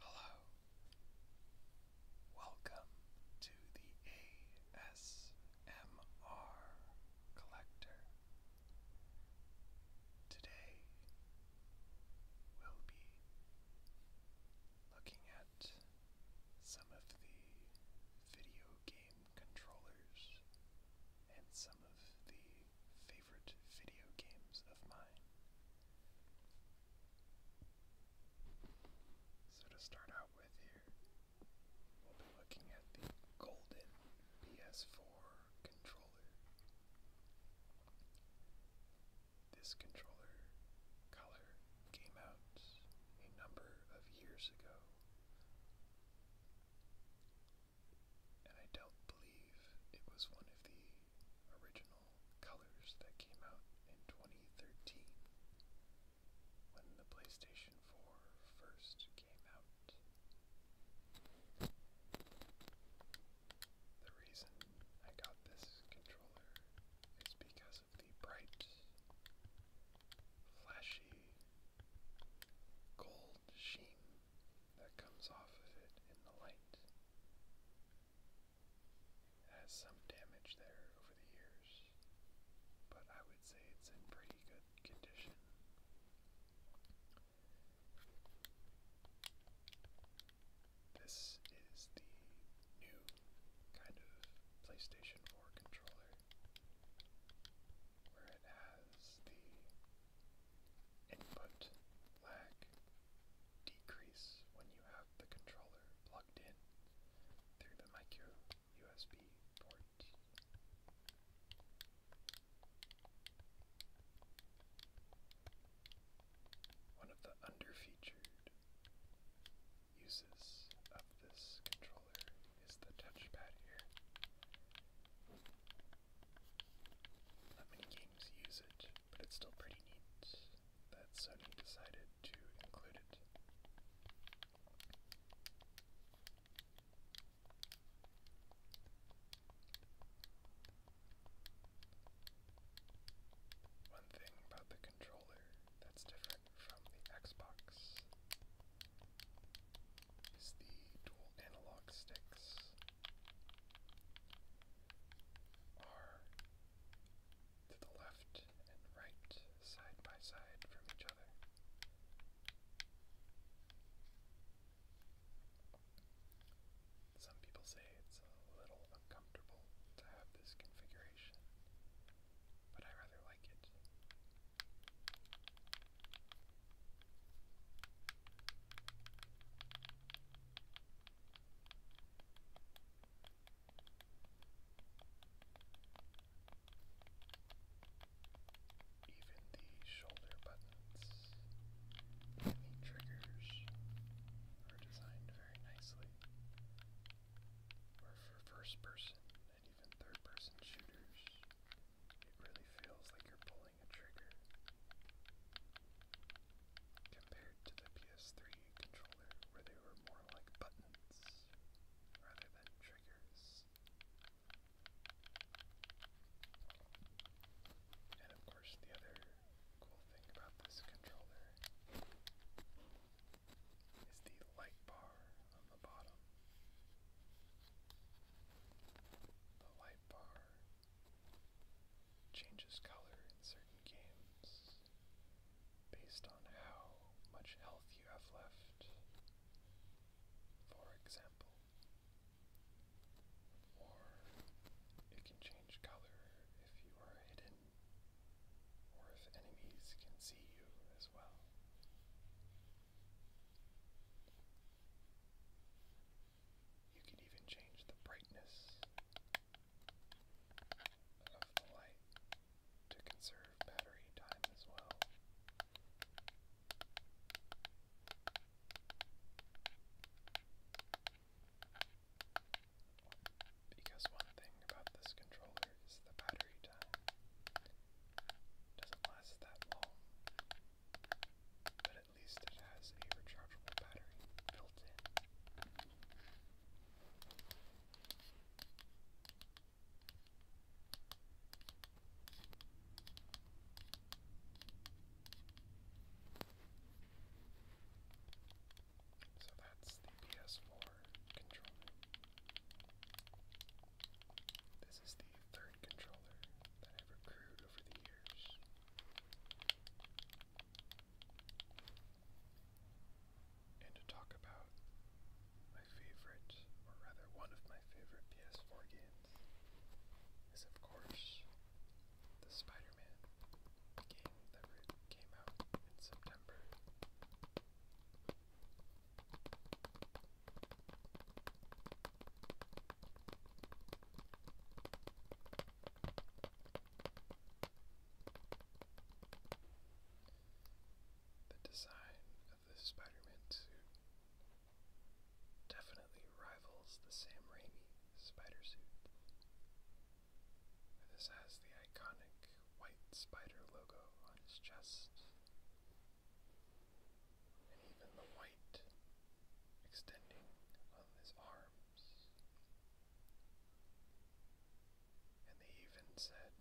Hello. Welcome to the ASMR Collector. Today we'll be looking at some of the video game controllers and of the favorite video games of mine. So to start out with here, we'll be looking at the golden PS4 controller. This controller color came out a number of years ago and I don't believe it was one of the original colors that came out in 2013 when the PlayStation 4 first came out. The reason I got this controller is because of the bright, flashy, gold sheen that comes off of it in the light. has some damage there over the years, but I would say it's in pretty good condition. This is the new kind of PlayStation 4 controller where it has the input lag decrease when you have the controller plugged in through the micro USB port. One of the under uses of this controller is the touchpad here. Not many games use it, but it's still pretty neat that Sony decided to include it. One thing about the controller that's different from the Xbox is the dual analog sticks are to the left and right side by side from each other. Some people say it's a little uncomfortable to have this configuration, but I rather like it. Even the shoulder buttons the triggers are designed very nicely. for first person and even third person shooters, it really feels like you're pulling pulling a compared to the PS3 controller where they were more like buttons rather than triggers. And of course, the other cool thing about this controller is the light bar on the bottom. The light bar changes color in certain games based on how much health you have left, for example. Or it can change color if you are hidden, or if enemies can see you as well. You can even change the brightness of the light to conserve battery time as well. Because one thing about this controller is the battery time. doesn't last that long, at least it has a rechargeable battery So that's the PS4 controller. This is the third controller that I've accrued over the years and to talk about my favorite, or rather one of my favorite PS4 games, is of course the Spider Man game that came out in September. The design of the Spider-Man suit definitely rivals the Sam Raimi spider suit. This has the iconic white spider logo on his chest. And even the white extending on his arm and they even said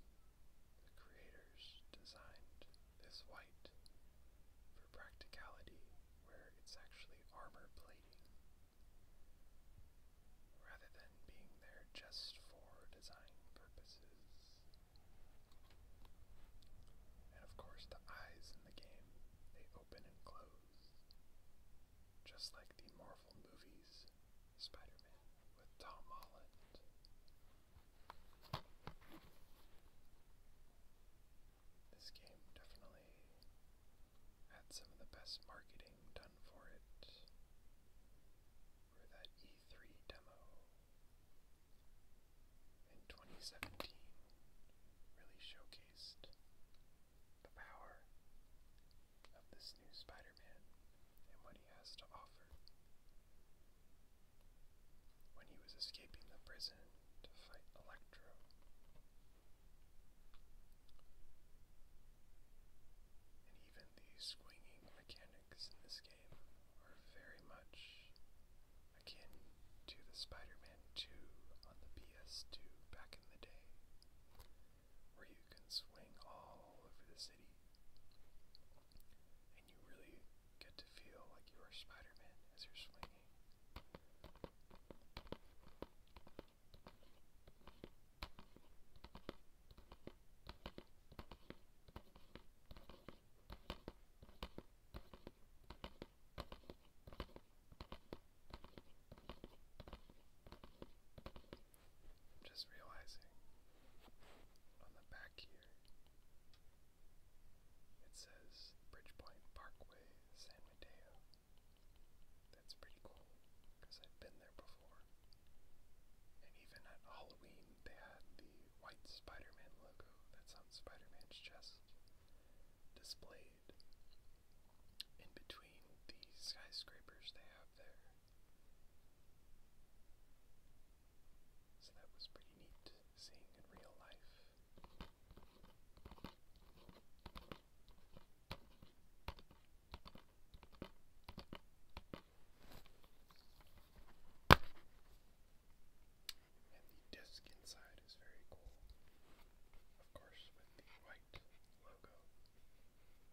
the creators designed this white for practicality where it's actually armor plating rather than being there just for design purposes. And of course the eyes in the game, they open and close just like the Marvel movies, Spider Man with Tom Holland. This game definitely had some of the best marketing done for it. For that E3 demo in 2017 really showcased the power of this new Spider Man and what he has to offer. When he was escaping the prison to fight Electro, and even the swinging mechanics in this game are very much akin to the Spider 2 on the PS2 back in the day, where you can swing all over the city and you really get to feel like you are Spider-Man as you're swinging. I'm just realizing on the back here it says Bridgepoint Parkway, San Mateo. That's pretty cool because I've been there before. And even at Halloween, they had the white Spider Man logo that's on Spider Man's chest displayed in between the skyscrapers they have there. So that was pretty neat seeing in real life. And the disc inside is very cool. Of course, with the white logo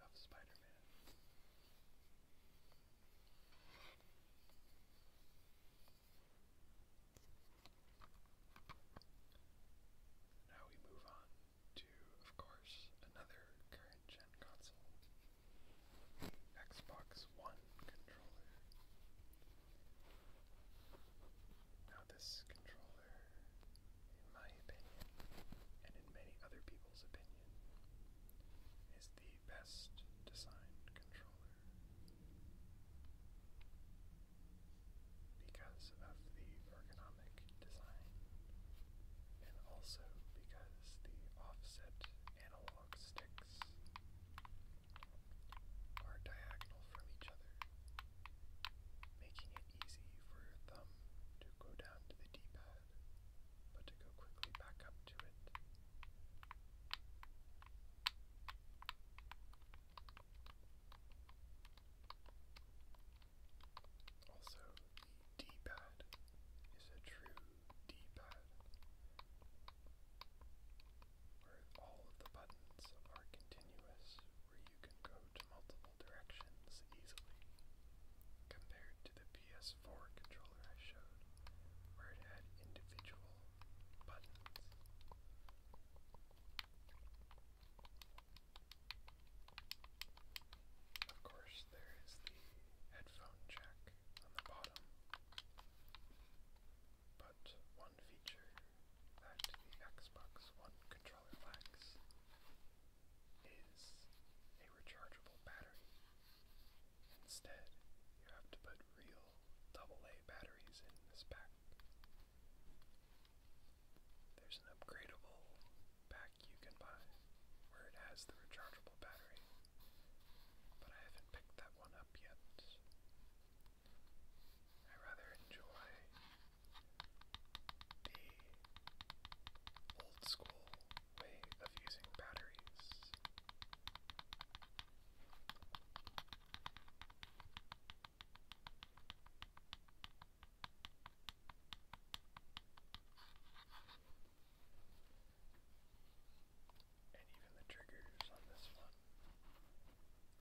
of Spider Man. Now we move on to, of course, another current gen console Xbox One controller. Now, this controller in my opinion, and in many other people's opinion, is the best designed controller because of the ergonomic design and also because the offset analog sticks are diagonal from each other, making it easy for your thumb to go down to the D-pad, but to go quickly back up to it. Also, the D-pad is a true D-pad, where all of the buttons are continuous where you can go to multiple directions easily, compared to the PS4 controller I showed, where it had individual buttons. Of course, there is the headphone jack on the bottom, but one feature that the Xbox One controller lacks is a rechargeable battery. Instead, you have to put real AA batteries in this pack. There's an upgradable pack you can buy where it has the rechargeable battery, but I haven't picked that one up yet. I rather enjoy the old school way of using batteries. And even the triggers on this one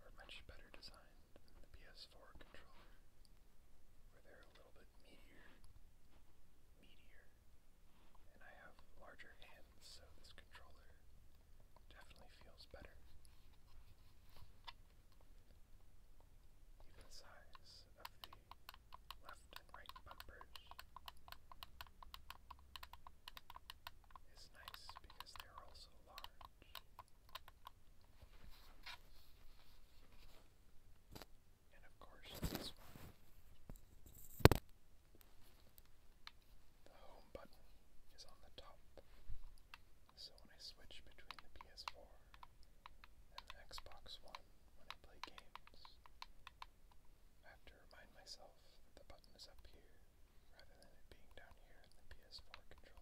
are much better designed the PS4 controller, where they're a little bit meatier, meatier, and I have larger hands, so this controller definitely feels better. Even the size of the left and right bumpers is nice because they're also large. And of course, this one the home button is on the top. So when I switch between the PS4 and the Xbox One when I play games, I have to remind myself that the button is up here rather than it being down here in the PS4 controller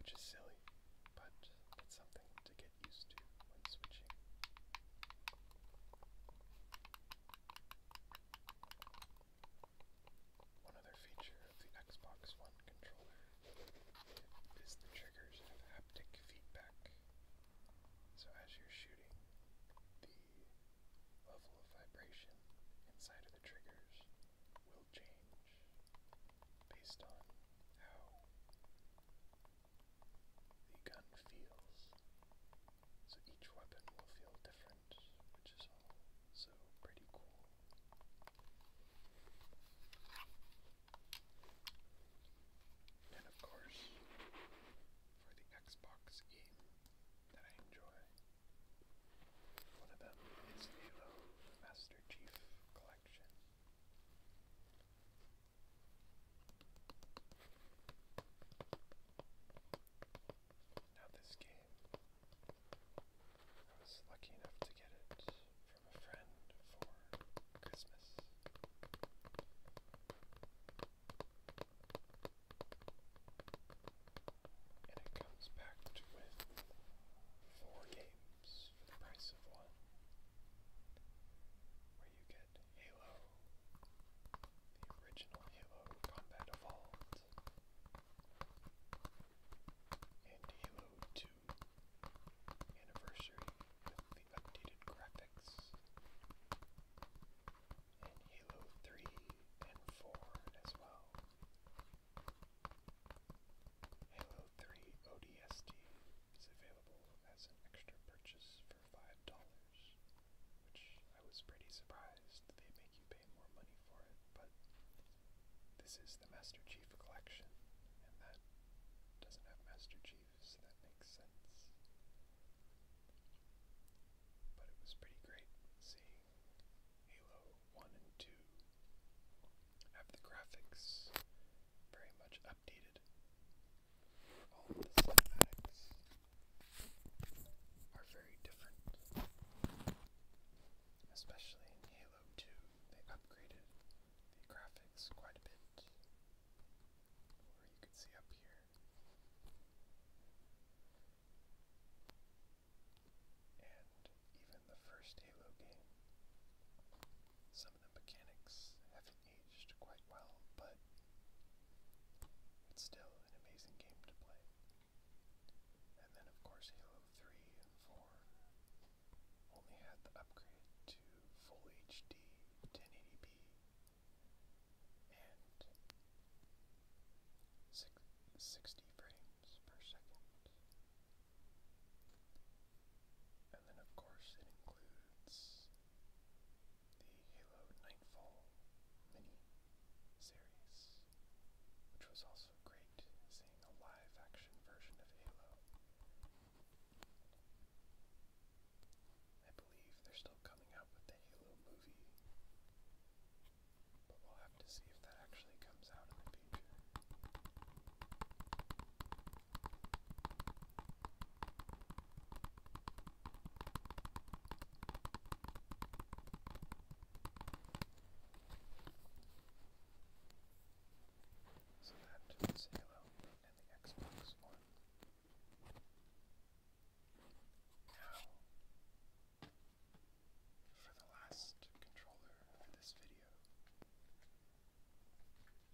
which is silly, but it's something to get used to when switching. One other feature of the Xbox One controller is the triggers have haptic feedback. So as you're shooting, the level of vibration inside of the triggers will change based on how the gun feels. So each weapon will feel different, which is all so pretty cool. And of course, for the Xbox game that I enjoy, one of them is Halo Master Master Chief this game, I was lucky enough to get it from a friend for Christmas. And it comes packed with four games for the price of one, where you get Halo, the original Halo Combat Evolved, and Halo 2 Anniversary with the updated graphics, and Halo 3 and 4 as well. Halo 3 ODST is available as an extra purchase for $5, which I was pretty surprised they make you pay more money for it, but this is the Master Chief Collection, and that doesn't have Master Chief, so that makes sense. But it was pretty great seeing Halo 1 and 2 have the graphics very much updated. All the cinematics are very different. Especially in Halo 2, they upgraded the graphics quite a bit. Or you could see up here and even the first Halo game. Some of the mechanics haven't aged quite well, but it's still an amazing game to play. And then, of course, Halo 3 and 4 only had the upgrade to full HD 1080p and 60 frames and then, of course, it includes the Halo Nightfall mini series, which was also great seeing a live action version of Halo. I believe they're still coming out with the Halo movie, but we'll have to see if that actually comes out in the future. So that is Halo and the Xbox One. Now, for the last controller for this video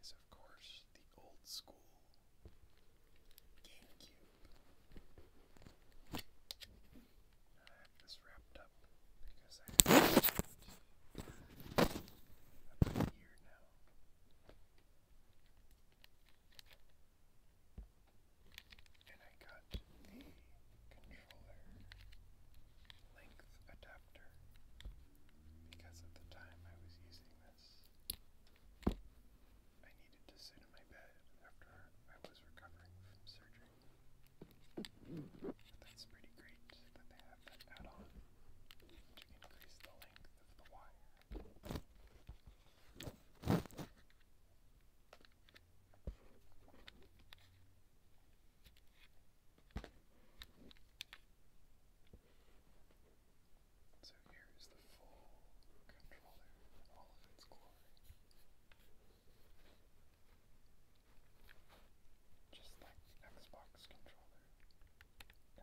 is, of course, the old school GameCube. I have this wrapped up because I have it about now. And I got a controller length adapter because at the time I was using this, I needed to sit in my bed after I was recovering from surgery. that's pretty great that they have that add on to increase the length of the wire. So here is the full controller all of its glory. Just like the Xbox controller,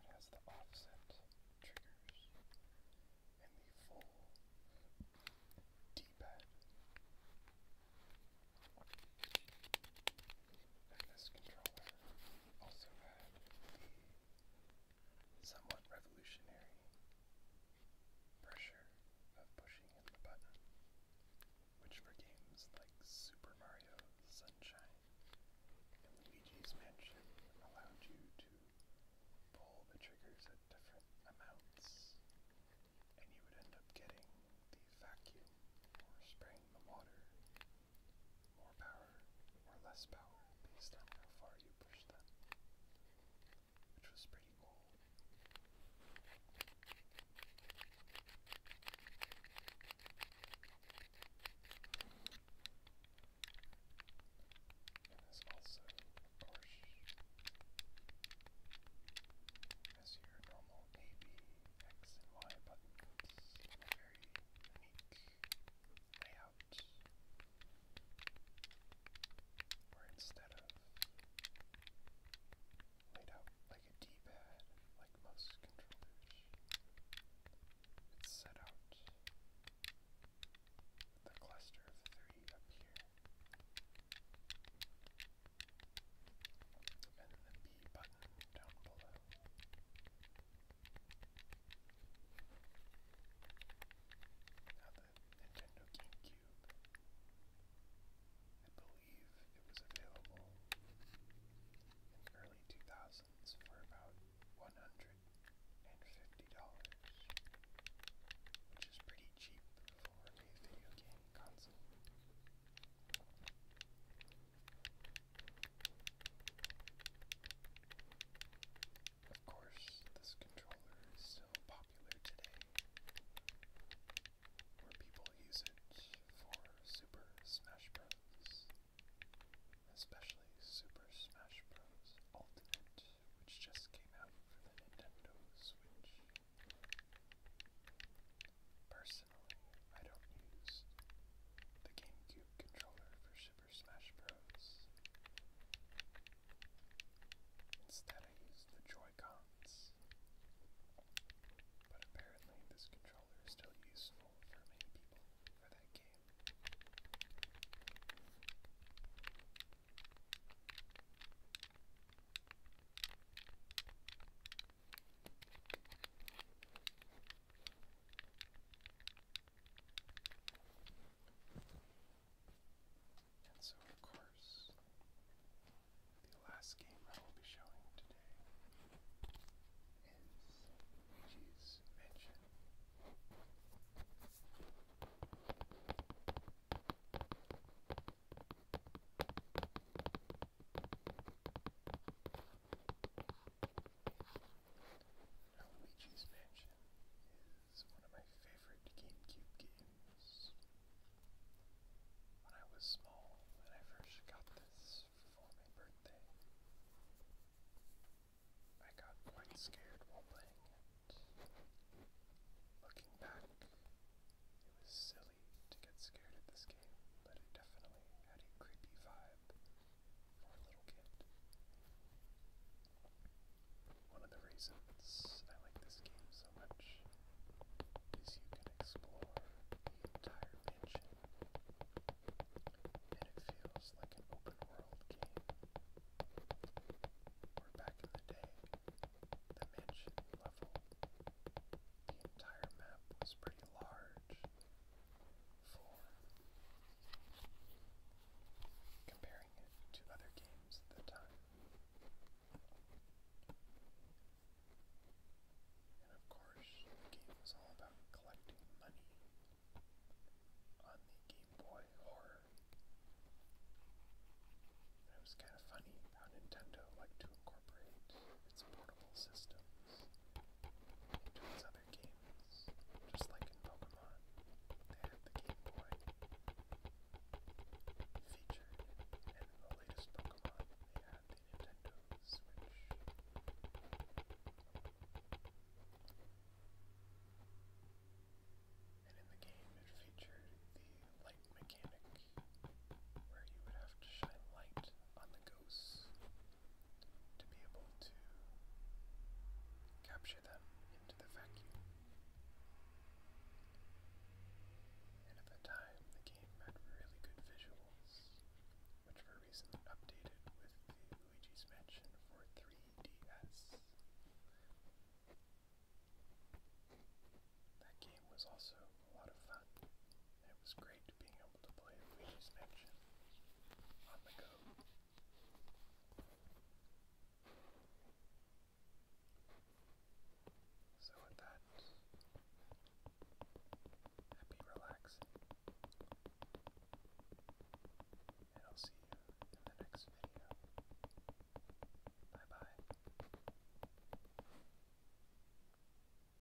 it has the offset triggers and the full D-pad. And this controller also had the somewhat revolutionary pressure of pushing in the button, which for games like Super Mario Sunshine and Luigi's Mansion allowed you to pull the triggers at different amounts, and you would end up getting the vacuum or spray in the water. More power or less power based on how far you push them. Which was pretty cool. And there's also, of course, as your normal AB X and Y buttons in a very unique layout, where instead of laid out like a D-pad, like most controllers, it's set out with the cluster of three up here and the B button down below. Now the Nintendo GameCube, I believe it was available in the early 2000s for about $150, which is pretty cheap for a video game console. Of course, this controller is still popular today, where people use it for Super Smash Bros. Especially Super Smash Bros. Ultimate, which just came out for the Nintendo Switch. Personally, I don't use the GameCube controller for Super Smash Bros. Instead, I use the Joy-Cons. But apparently, this controller is still useful for many people for that game. And so, of course, the last game I will be showing today is Luigi's Mansion. Luigi's Mansion is one of my favorite GameCube games. When I was small, and I first got this for my birthday, I got quite scared while playing it. Looking back, it was silly to get scared at this game, but it definitely had a creepy vibe for a little kid. One of the reasons I like this game so much is you can explore the entire mansion, and it feels like an open world game. Where back in the day, the mansion level, the entire map was pretty large for comparing it to other games at the time. And of course, the game was all about collecting money on the Game Boy Horror. And it was kind of funny how Nintendo liked to incorporate its portable systems to other games. Just like in Pokemon, they had the Game Boy featured, and in the latest Pokemon, they had the Nintendo Switch. And in the game, it featured the light mechanic, where you would have to shine light on the ghosts to be able to capture them into the vacuum. And at the time, the game had really good visuals, which were recently updated with Luigi's Mansion for 3DS. That game was also a lot of fun. It was great being able to play a Luigi's Mansion on the go. So with that, happy relaxing, and I'll see you in the next video. Bye bye.